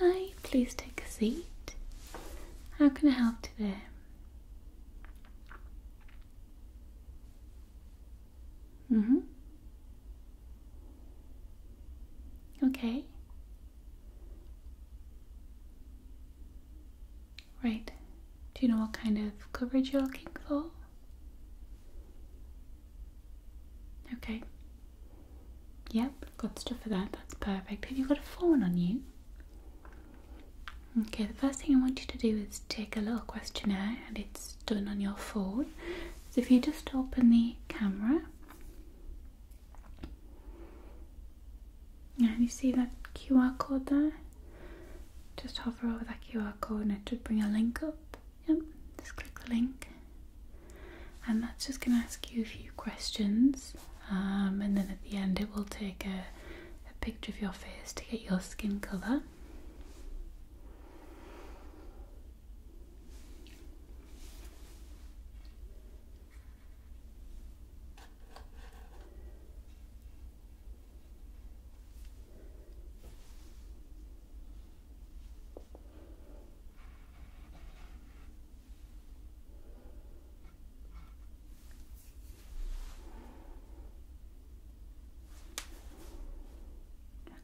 Hi, please take a seat. How can I help today? Mm-hmm. Okay. Right. Do you know what kind of coverage you're looking for? Okay. Yep, got stuff for that. That's perfect. Have you got a phone on you? Okay, the first thing I want you to do is take a little questionnaire and it's done on your phone. So if you just open the camera and you see that QR code there, just hover over that QR code and it should bring a link up. Yep, just click the link and that's just going to ask you a few questions, um, and then at the end, it will take a picture of your face to get your skin colour.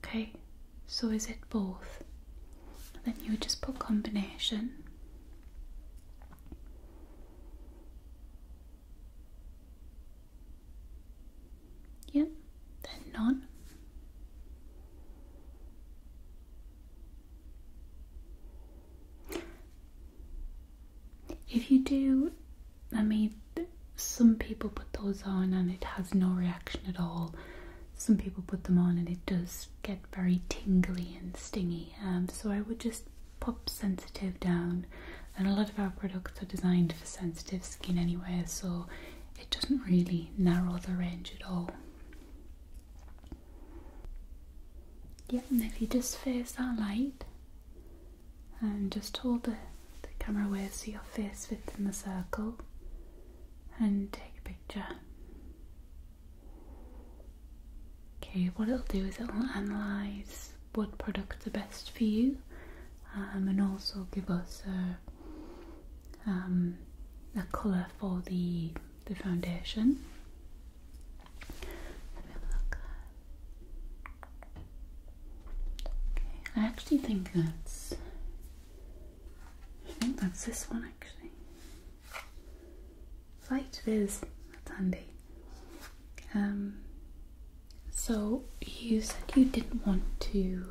Okay, so is it both? then you would just put combination. Yep, then none. If you do, I mean, some people put those on and it has no reaction at all. Some people put them on and it does get very tingly and stingy. Um, so I would just pop sensitive down. And a lot of our products are designed for sensitive skin anyway, so it doesn't really narrow the range at all. Yeah, and if you just face that light and just hold the, camera where so your face fits in the circle and take a picture. Okay, what it'll do is it'll analyse what products are best for you um, and also give us a, um, a colour for the the foundation. Let me look. Okay, I actually think that's. I think that's this one actually. Light it is. That's handy. Um, so you said you didn't want to.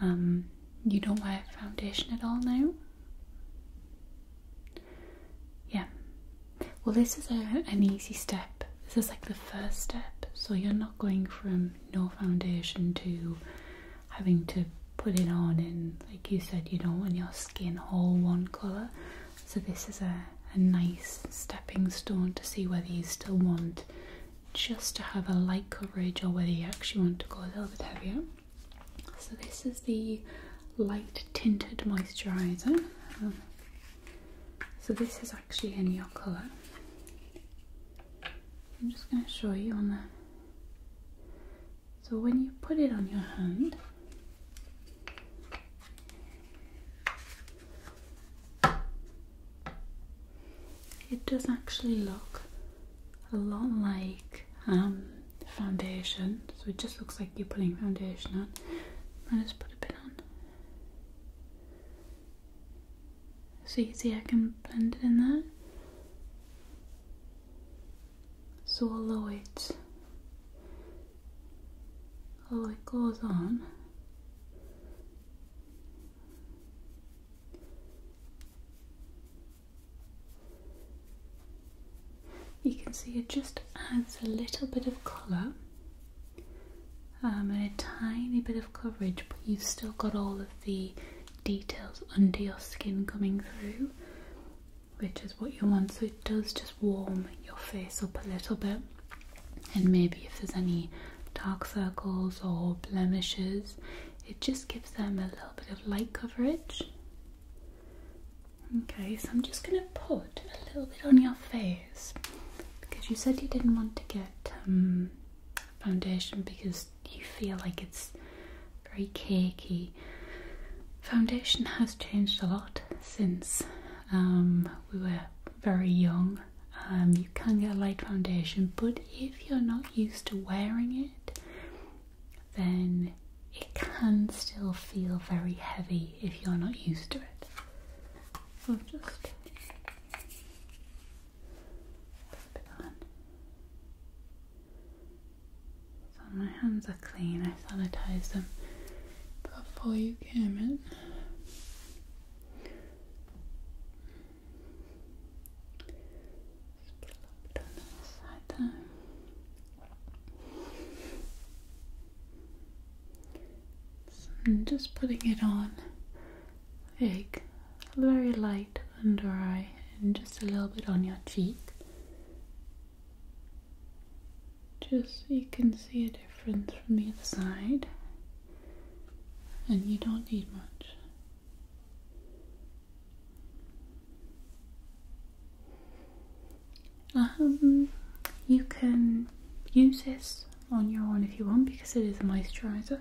Um, you don't wear foundation at all now. Yeah. Well, this is an easy step. This is like the first step. So you're not going from no foundation to having to put it on and like you said, you don't want your skin all one colour. So this is a nice stepping stone to see whether you still want just to have a light coverage or whether you actually want to go a little bit heavier. So this is the light tinted moisturizer. so this is actually in your colour. I'm just going to show you on the. So when you put it on your hand, it does actually look a lot like um, foundation. So it just looks like you're putting foundation on. Let us put a bit on. So you see I can blend it in there. So I'll lower it Oh, it goes on you can see it just adds a little bit of colour um, and a tiny bit of coverage, but you've still got all of the details under your skin coming through, which is what you want. So it does just warm your face up a little bit, and maybe if there's any dark circles or blemishes, it just gives them a little bit of light coverage Okay, so I'm just going to put a little bit on your face because you said you didn't want to get um, foundation because you feel like it's very cakey. Foundation has changed a lot since um, we were very young. Um, you can get a light foundation, but if you're not used to wearing it, then it can still feel very heavy if you're not used to it. So my hands are clean, I sanitized them before you came in. Just a little bit on this side there. just putting it on big, very light under eye, and just a little bit on your cheek. Just you can see a difference from the other side, and you don't need much. Um, you can use this on your own if you want because it is a moisturizer,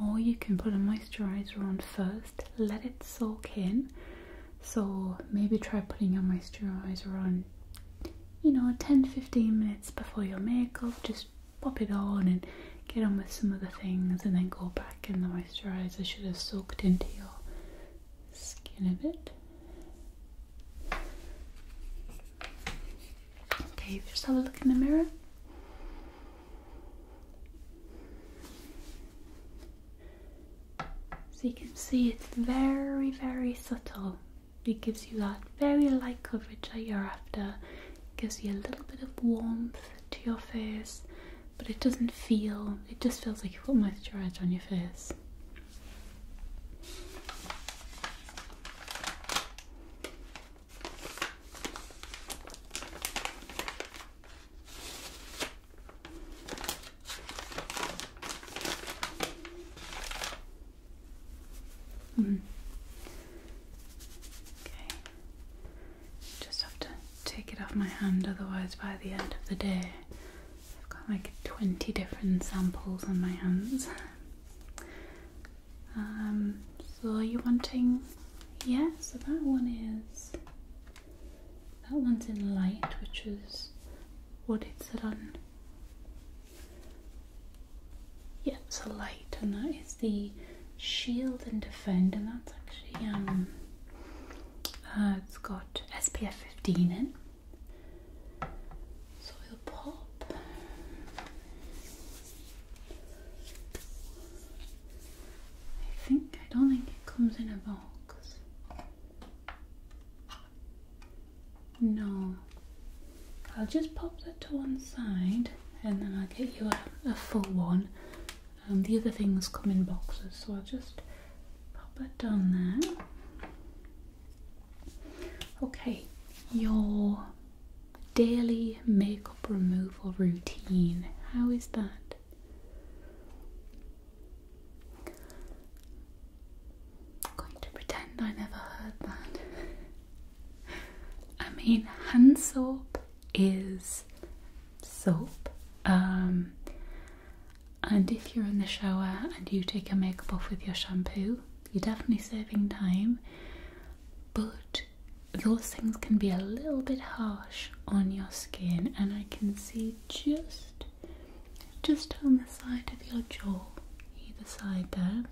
or you can put a moisturizer on first, let it soak in. So maybe try putting your moisturizer on, you know, 10 15 minutes before your makeup, just pop it on and get on with some of the things, and then go back, and the moisturizer should have soaked into your skin of it. Okay, just have a look in the mirror. So you can see it's very, very subtle. It gives you that very light coverage that you're after. gives you a little bit of warmth to your face, but it doesn't feel, it just feels like you put moisturiser on your face. Mm. Okay, just have to take it off my hand otherwise by the end of the day I've got like 20 different samples on my hands. Um, so are you wanting, yeah, so that one is, that one's in light, which is what it said on. Yeah, so light, and that is the shield and defend, and that's actually um, uh, it's got SPF 15 in. pop I think I don't think it comes in a box. No. I'll just pop that to one side and then I'll get you a full one um, the other things come in boxes, so I'll just pop that down there. Okay, your daily makeup removal routine. How is that? I'm going to pretend I never heard that. I mean, hand soap is soap. Um, and if you're in the shower and you take your makeup off with your shampoo, you're definitely saving time. But those things can be a little bit harsh on your skin, and I can see just just on the side of your jaw, either side there,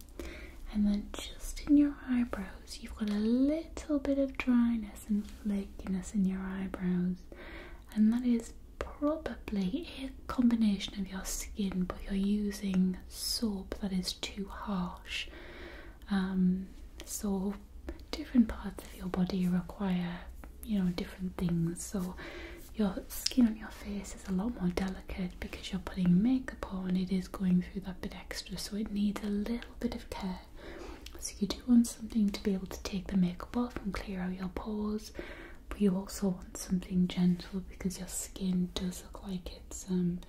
and then just in your eyebrows, you've got a little bit of dryness and flakiness in your eyebrows, and that is probably a combination of your skin, but you're using soap that is too harsh. Um, so different parts of your body require, you know, different things. So your skin on your face is a lot more delicate because you're putting makeup on. It is going through that bit extra, so it needs a little bit of care. So you do want something to be able to take the makeup off and clear out your pores, but you also want something gentle because your skin does look like it's um,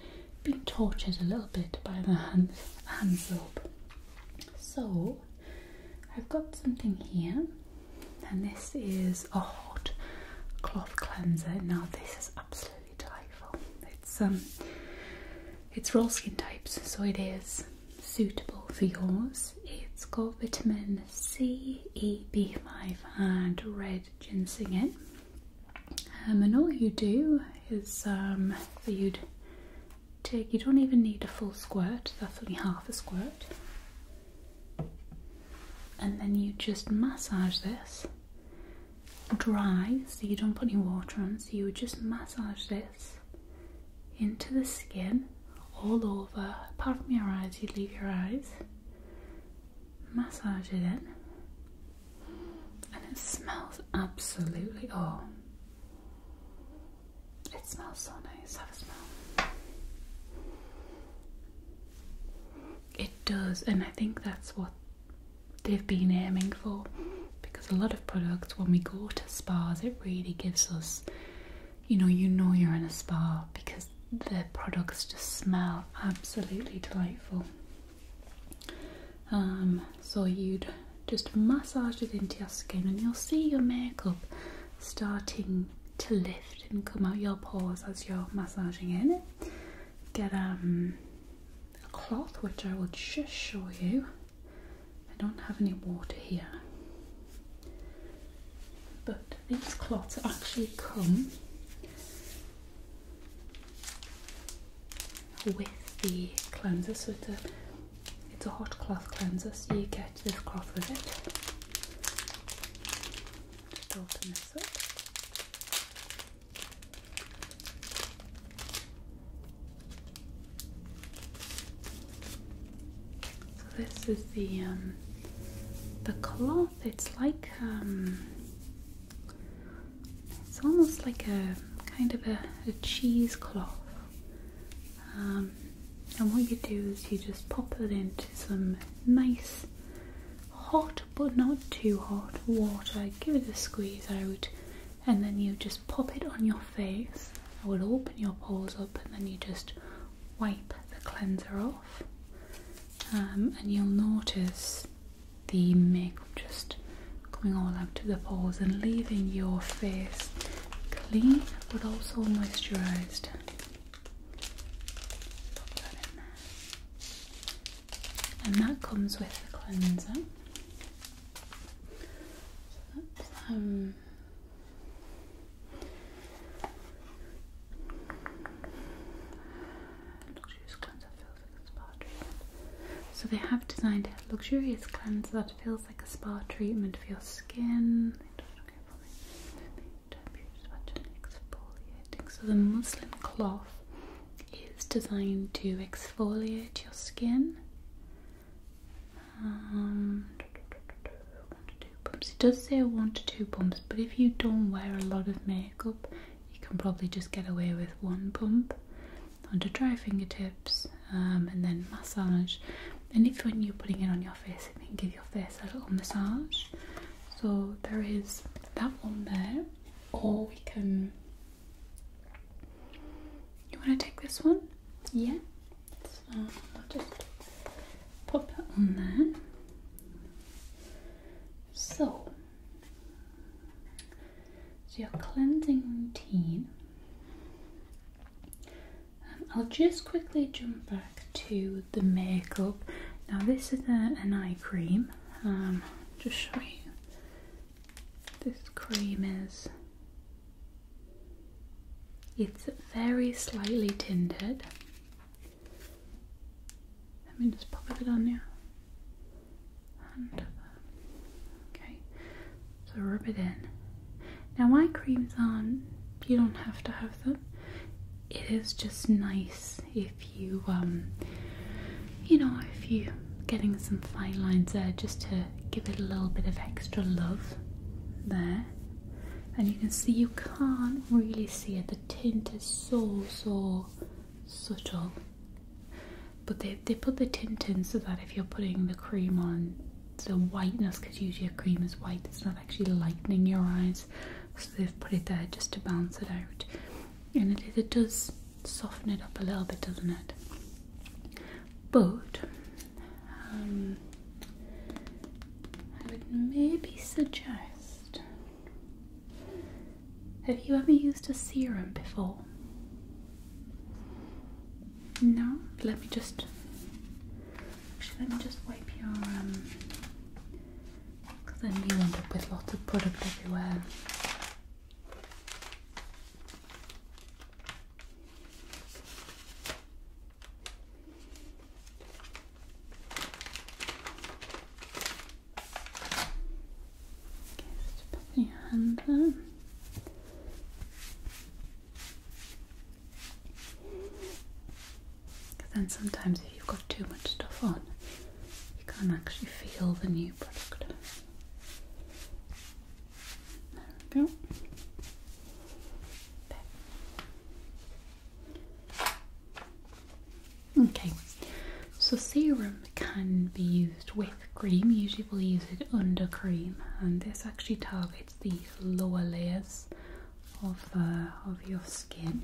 been tortured a little bit by the hand, hand soap. So I've got something here, and this is a hot cloth cleanser. Now this is absolutely delightful. It's um, it's for all skin types, so it is suitable for yours. It's got vitamin C, E, B5 and red ginseng in. Um, and all you do is that um, you'd take, you don't even need a full squirt, that's only half a squirt. And then you just massage this dry, so you don't put any water on, so you just massage this into the skin all over, apart from your eyes, you leave your eyes, massage it in, and it smells absolutely oh, it smells so nice. Have a smell. It does, and I think that's what they've been aiming for because a lot of products, when we go to spas, it really gives us you know you know you're in a spa because the products just smell absolutely delightful um, so you'd just massage it into your skin and you'll see your makeup starting to lift and come out your pores as you're massaging in it get um, a cloth which I will just show you I don't have any water here. But these clots actually come with the cleanser, so it's a hot cloth cleanser, so you get this cloth with it. Just open this so this is the um, the cloth. It's like um, it's almost like a kind of a, cheesecloth. Um, and what you do is you just pop it into some nice hot but not too hot water, give it a squeeze out, and then you just pop it on your face. It will open your pores up, and then you just wipe the cleanser off, um, and you'll notice the makeup just coming all out of the pores and leaving your face clean but also moisturised. And that comes with the cleanser. Luxurious cleanser feels like a spa treatment. So they have designed a luxurious cleanser that feels like a spa treatment for your skin. So the muslin cloth is designed to exfoliate your skin um, it does say one to two pumps, but if you don't wear a lot of makeup, you can probably just get away with one pump onto dry fingertips um, and then massage. And if when you're putting it on your face, it can give your face a little massage. So there is that one there, or we can. You want to take this one? Yeah, so I'll just pop that on there. So, so your cleansing routine. Um, I'll just quickly jump back to the makeup. Now this is an eye cream. Um, just show you. This cream is it's very slightly tinted. Let me just pop it on you. okay, so rub it in. Now my creams on. you don't have to have them. It is just nice if you, um, you know, if you're getting some fine lines there just to give it a little bit of extra love there and you can see you can't really see it the tint is so so subtle but they, they put the tint in so that if you're putting the cream on the whiteness because usually a cream is white it's not actually lightening your eyes so they've put it there just to balance it out and it, it does soften it up a little bit doesn't it but um, I would maybe suggest. Have you ever used a serum before? No? Let me just. Actually, let me just wipe your. um Because then you end up with lots of product everywhere. Just put your hand there. then sometimes if you've got too much stuff on, you can't actually feel the new product. There we go. Okay, so serum can be used with cream. Usually we use it under cream, and this actually targets the lower layers of uh, of your skin.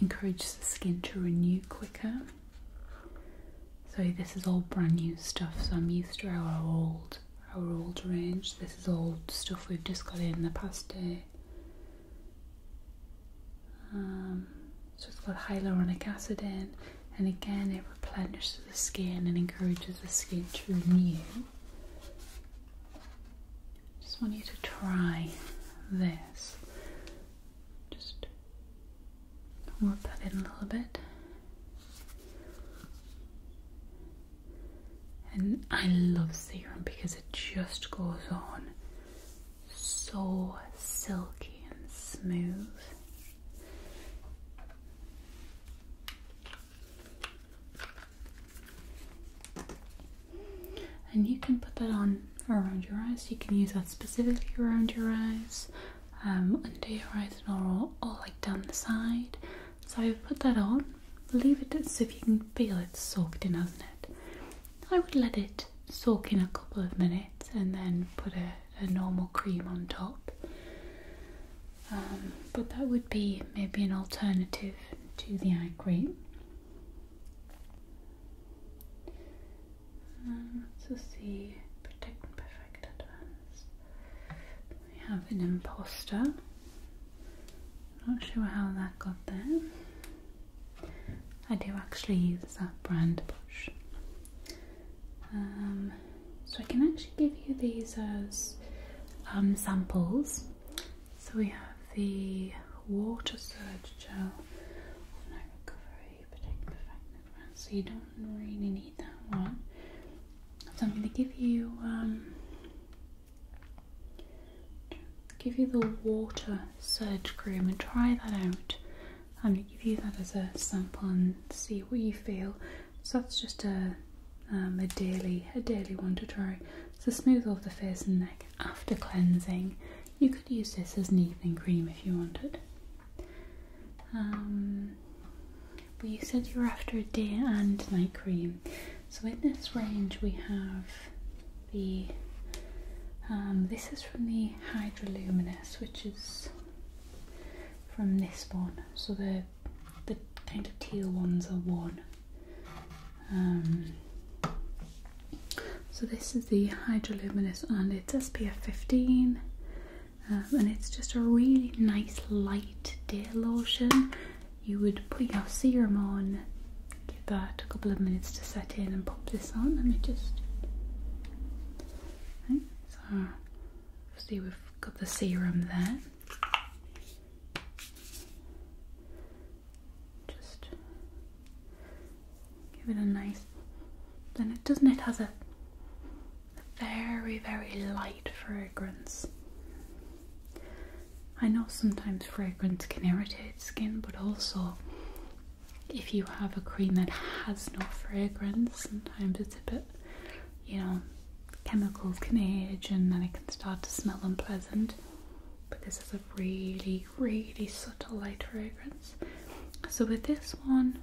encourages the skin to renew quicker. So this is all brand new stuff. So I'm used to our old our old range. This is all stuff we've just got in the past day. Um, so it's got hyaluronic acid in, and again it replenishes the skin and encourages the skin to renew. Just want you to try this. Just work that in a little bit. And I love serum because it just goes on so silky and smooth and you can put that on around your eyes. You can use that specifically around your eyes, um, under your eyes, and all, like down the side. So I put that on, leave it as if you can feel it soaked in, hasn't it? I would let it soak in a couple of minutes and then put a, normal cream on top. Um, but that would be maybe an alternative to the eye cream. And this is Protect and Perfect Advance. We have an imposter. Not sure how that got there. I do actually use that brand brush. Um, so I can actually give you these as um, samples. So we have the water surge gel so you don't really need that one. So I'm gonna give you um, give you the water surge cream and try that out. I'm gonna give you that as a sample and see what you feel. So that's just a um, a daily a daily one to try. It's a smooth off the face and neck after cleansing. You could use this as an evening cream if you wanted. Um, but you said you are after a day and night cream, so in this range we have the. Um, this is from the Hydroluminous, which is from this one. So the the kind of teal ones are one. Um, so this is the Hydroluminous and it's SPF 15 um, and it's just a really nice light day lotion. You would put your serum on, give that a couple of minutes to set in and pop this on. Let me just... so see we've got the serum there just give it a nice then it doesn't it has a, very very light fragrance I know sometimes fragrance can irritate skin but also if you have a cream that has no fragrance sometimes it's a bit you know chemicals can age and then it can start to smell unpleasant but this is a really, really subtle light fragrance. So with this one,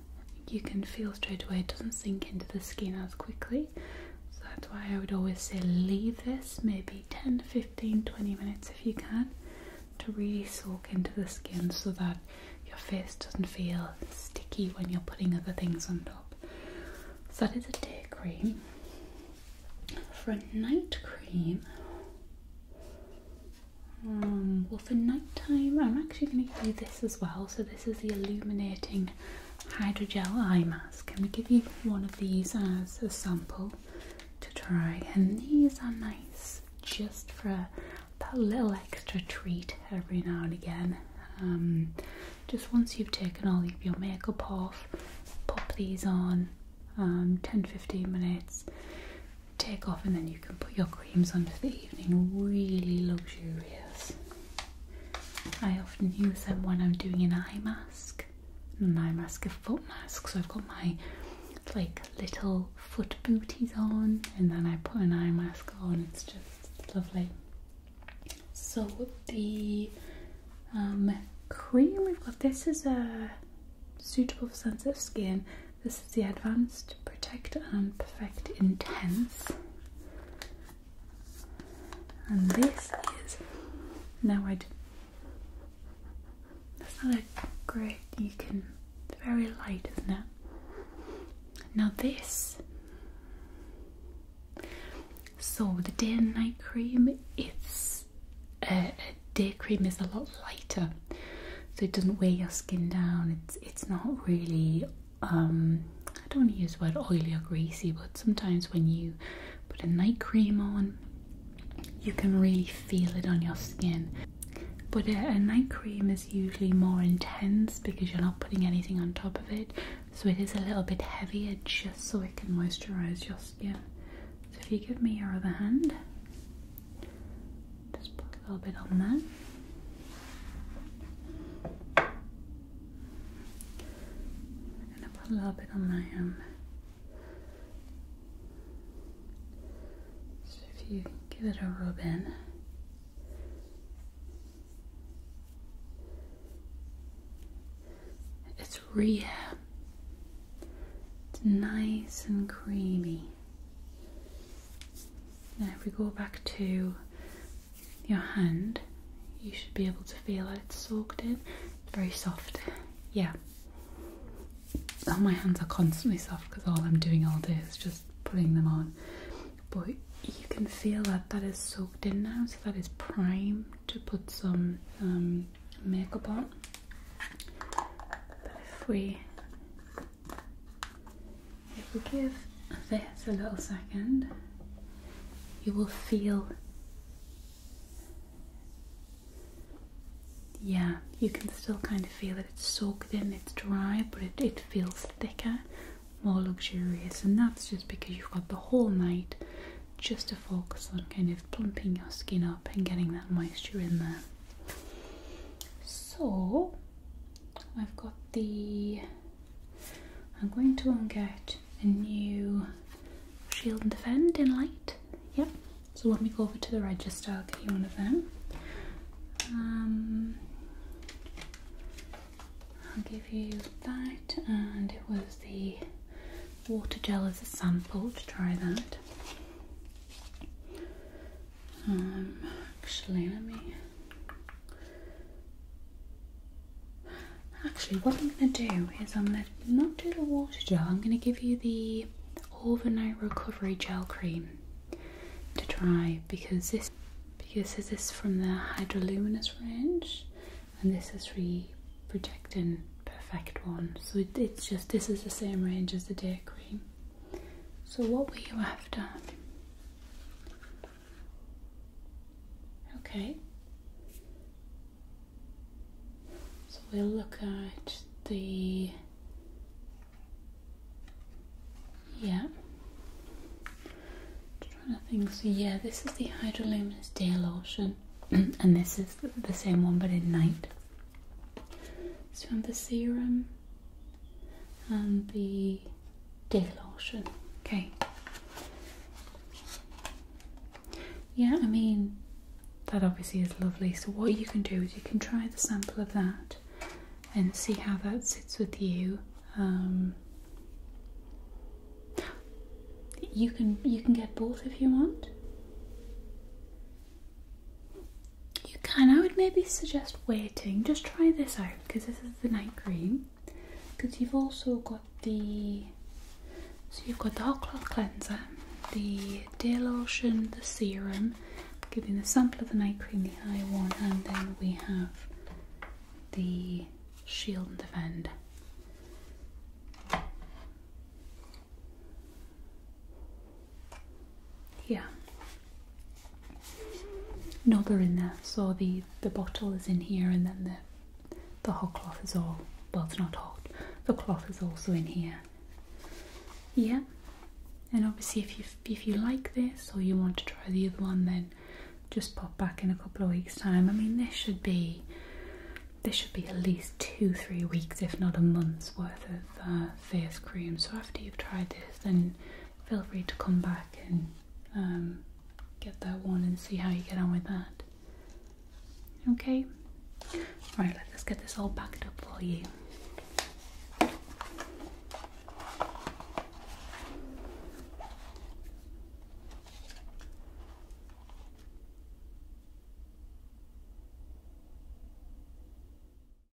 you can feel straight away it doesn't sink into the skin as quickly. So that's why I would always say leave this maybe 10, 15, 20 minutes if you can to really soak into the skin so that your face doesn't feel sticky when you're putting other things on top. So that is a day cream. For a night cream, um, well, for nighttime, I'm actually going to give you this as well. So this is the illuminating hydrogel eye mask. I'm going to give you one of these as a sample to try. And these are nice just for that little extra treat every now and again. Um, just once you've taken all of your makeup off, pop these on. Um, 10-15 minutes take off and then you can put your creams on for the evening. Really luxurious. I often use them when I'm doing an eye mask, an eye mask, a foot mask. So I've got my like little foot booties on and then I put an eye mask on. It's just lovely. So the um, cream we've got this is a suitable for sensitive skin. This is the Advanced Protect and Perfect Intense. And this is now I. That's not a great. You can. Very light, isn't it? Now this. So the day and night cream. It's uh, day cream is a lot lighter, so it doesn't weigh your skin down. It's it's not really um, I don't want to use the word oily or greasy, but sometimes when you put a night cream on, you can really feel it on your skin. But a night cream is usually more intense because you're not putting anything on top of it, so it is a little bit heavier just so it can moisturize your skin. So if you give me your other hand. Just put a little bit on that. And I put a little bit on my arm. Um, so if you give it a rub in. It's real. It's nice and creamy. Now, if we go back to your hand, you should be able to feel that it's soaked in. It's very soft. Yeah. Oh, my hands are constantly soft because all I'm doing all day is just putting them on. But you can feel that that is soaked in now, so that is prime to put some um, makeup on. But if we if you give this a little second, you will feel. Yeah, you can still kind of feel that It's soaked in, it's dry, but it feels thicker, more luxurious, and that's just because you've got the whole night just to focus on kind of plumping your skin up and getting that moisture in there so I've got the I'm going to get a new shield and defend in light yep so let me go over to the register I'll get you one of them um, I'll give you that and it was the water gel as a sample to try that um, actually, let me. Actually, what I'm going to do is I'm going to not do the water gel. I'm going to give you the overnight recovery gel cream to try because this because this is from the Hydroluminous range, and this is the projecting Perfect one. So it's just this is the same range as the day cream. So, what were you after? Okay. So, we'll look at the. Yeah. trying to think. So, yeah, this is the Hydroluminous day lotion, and this is the same one but in night. It's from the serum and the day lotion. Okay. Yeah, I mean, that obviously is lovely. So, what you can do is you can try the sample of that and see how that sits with you. Um, you can you can get both if you want. You can. I would maybe suggest waiting. Just try this out because this is the night cream. Because you've also got the so you've got the hot cloth cleanser, the day lotion, the serum. giving the sample of the night cream, the eye one, and then we have the shield and defend. Yeah. No, they're in there. So the the bottle is in here, and then the the hot cloth is all well, it's not hot. The cloth is also in here. Yeah. And obviously, if you if you like this or you want to try the other one, then just pop back in a couple of weeks' time. I mean, this should be this should be at least two, three weeks, if not a month's worth of uh, face cream. So after you've tried this, then feel free to come back and um, get that one and see how you get on with that. Okay, right. Let's get this all packed up for you.